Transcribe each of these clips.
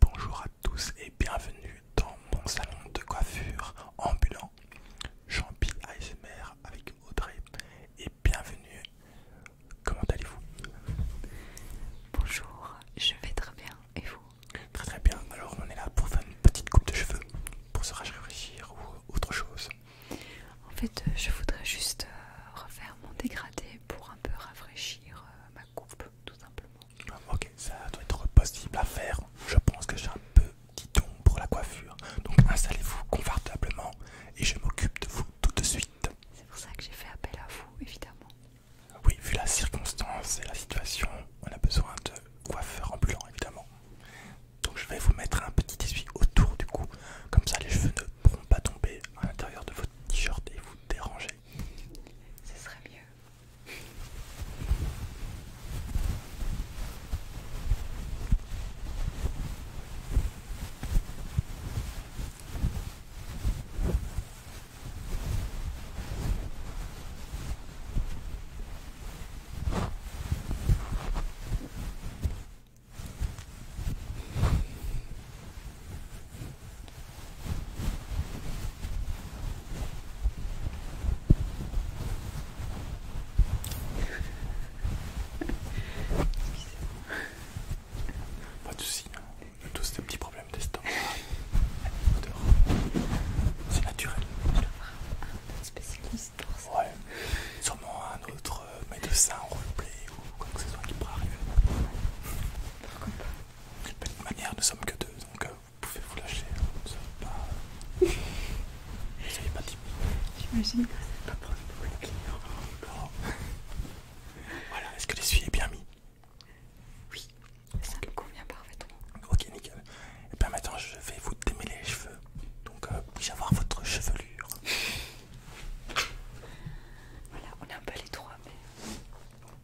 Bonjour à tous et bienvenue dans mon salon de coiffure ambulant Jean-Pierre ASMR avec Audrey et bienvenue. Comment allez-vous Bonjour, je vais très bien et vous Très très bien, alors on est là pour faire une petite coupe de cheveux, pour se rafraîchir ou autre chose. En fait, euh, je voudrais juste euh, refaire mon dégradé pour un peu rafraîchir euh, ma coupe, tout simplement. Ah, ok, ça doit être possible à faire. Je pense que j'ai un petit don pour la coiffure. Donc installez-vous confortablement et je m'occupe de vous tout de suite. C'est pour ça que j'ai fait appel à vous, évidemment. Oui, vu la circonstance et la situation, on a besoin de coiffeur ambulant, évidemment. Donc je vais vous mettre un petit essuie autour du cou, comme ça les cheveux ne pourront pas tomber à l'intérieur de votre t-shirt et vous déranger. Ce serait mieux. Pas de soucis, hein. on a tous des petits problèmes d'estomac. C'est naturel. Je dois voir un autre spécialiste pour ça. Ouais, sûrement un autre euh, médecin roleplay ou quoi que ce soit qui pourrait arriver. Pourquoi pas de toute manière, nous sommes que deux, donc euh, vous pouvez vous lâcher. Hein, vous savez pas, Je J'imagine que ça pas prendre pour voilà, est-ce que l'essuie est bien mis Oui, ça convient parfaitement. Ok, nickel. Et eh bien maintenant, je vais vous démêler les cheveux. Donc, vous euh, puis avoir votre chevelure Voilà, on est un peu les trois, mais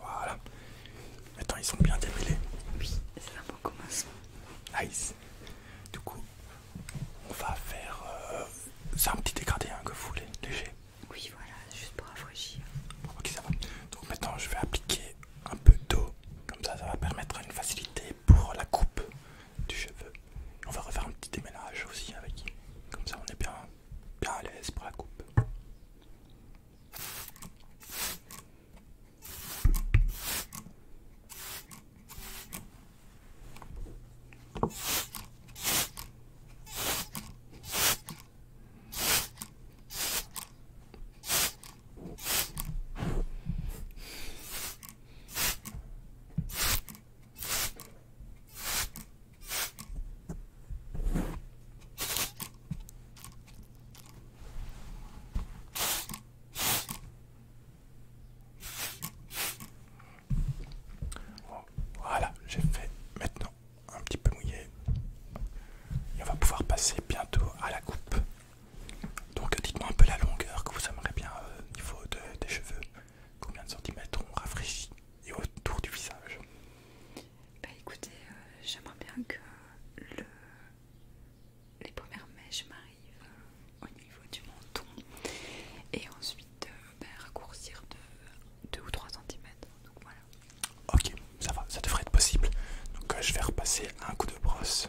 Voilà. maintenant ils sont bien démêlés. Oui, c'est un bon commencement. Nice. Du coup, on va faire. c'est euh, un petit dégradé un hein, que vous voulez, léger. Oui, voilà, juste pour rafraîchir. Ok, ça va. Donc maintenant, je vais appliquer un peu d'eau, comme ça ça va permettre une facilité pour la coupe du cheveu. On va refaire un petit déménage aussi avec, comme ça on est bien, bien à l'aise pour la coupe. Voilà, j'ai fait maintenant un petit peu mouillé. Et on va pouvoir passer bientôt à la coupe. Donc dites-moi un peu la longueur que vous aimeriez bien euh, au niveau des cheveux. Combien de centimètres on rafraîchit et autour du visage Bah écoutez, euh, j'aimerais bien que les premières mèches m'arrivent euh, au niveau du menton et ensuite bah, raccourcir de 2 ou 3 centimètres. Donc voilà. Ok, ça va, ça devrait être possible. Donc je vais repasser un coup de brosse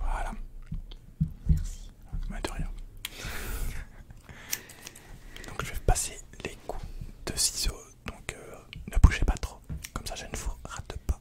Voilà. Merci. donc je vais passer les coups de ciseaux, donc euh, ne bougez pas trop, comme ça je ne vous rate pas.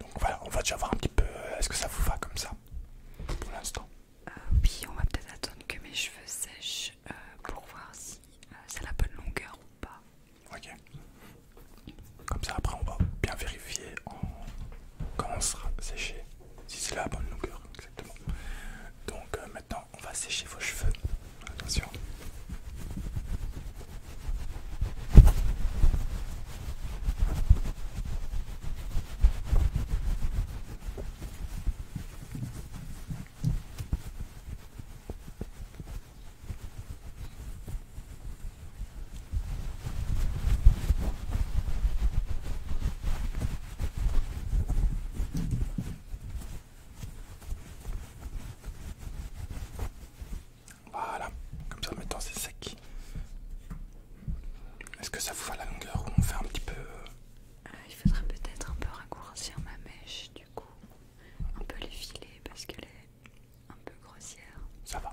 Donc voilà, on va déjà voir un petit peu euh, est-ce que ça vous va comme ça pour l'instant. Euh, oui, on va peut-être attendre que mes cheveux sèchent euh, pour voir si c'est la bonne longueur ou pas. Ok. Comme ça après on va bien vérifier comment quand on sera séché si c'est la bonne longueur. Donc euh, maintenant, on va sécher vos cheveux. Attention. Voilà, comme ça maintenant c'est sec. Est-ce que ça vous va la longueur ou on fait un petit peu... Euh, ah, il faudrait peut-être un peu raccourcir ma mèche du coup, un peu les filets parce qu'elle est un peu grossière. Ça va.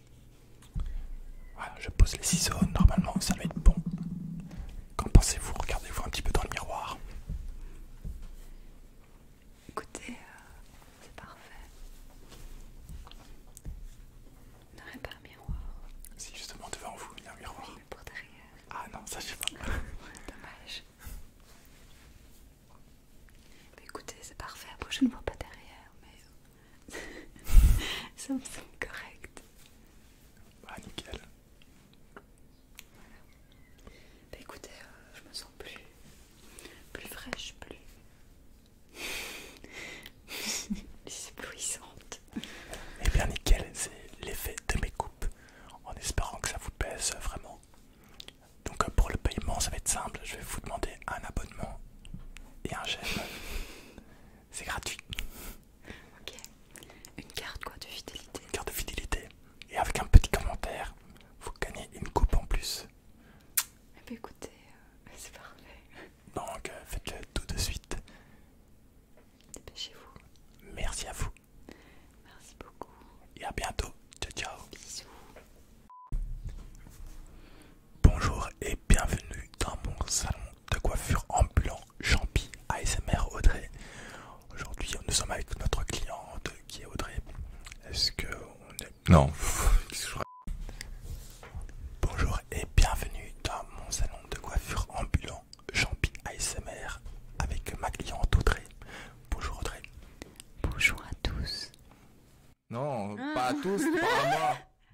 Voilà, je pose les ciseaux, normalement ça va être bon. Qu'en pensez-vous Regardez-vous un petit peu dans le miroir. Écoutez, euh, c'est parfait. Il n'y pas un miroir. Si, justement, devant vous, il y a un miroir. mais derrière. Ah non, ça je sais pas. Dommage. écoutez, c'est parfait. Après, je ne vois pas derrière, Ça me semble correct. Ah, nickel. Voilà. Bah écoutez, euh, je me sens plus, plus fraîche, plus. éblouissante. Et eh bien nickel, c'est l'effet de mes coupes, en espérant que ça vous pèse vraiment. Donc euh, pour le paiement, ça va être simple, je vais vous demander un abonnement et un j'aime. C'est gratuit. Ok. Une carte quoi de fidélité Une carte de fidélité. Et avec un petit commentaire, vous gagnez une coupe en plus. Eh ben, écoutez, euh, c'est parfait. Donc euh, faites-le tout de suite. Dépêchez-vous. Merci à vous. Merci beaucoup. Et à bientôt. Ciao ciao. Bisous. Bonjour et bienvenue dans mon salon de coiffure ambulant Champi ASMR Audrey. Aujourd'hui, nous sommes avec notre cliente qui est Audrey. Est-ce que on est... Non. Bonjour et bienvenue dans mon salon de coiffure ambulant Champi ASMR avec ma cliente Audrey. Bonjour Audrey. Bonjour à tous. Non, ah. pas à tous, pas à moi.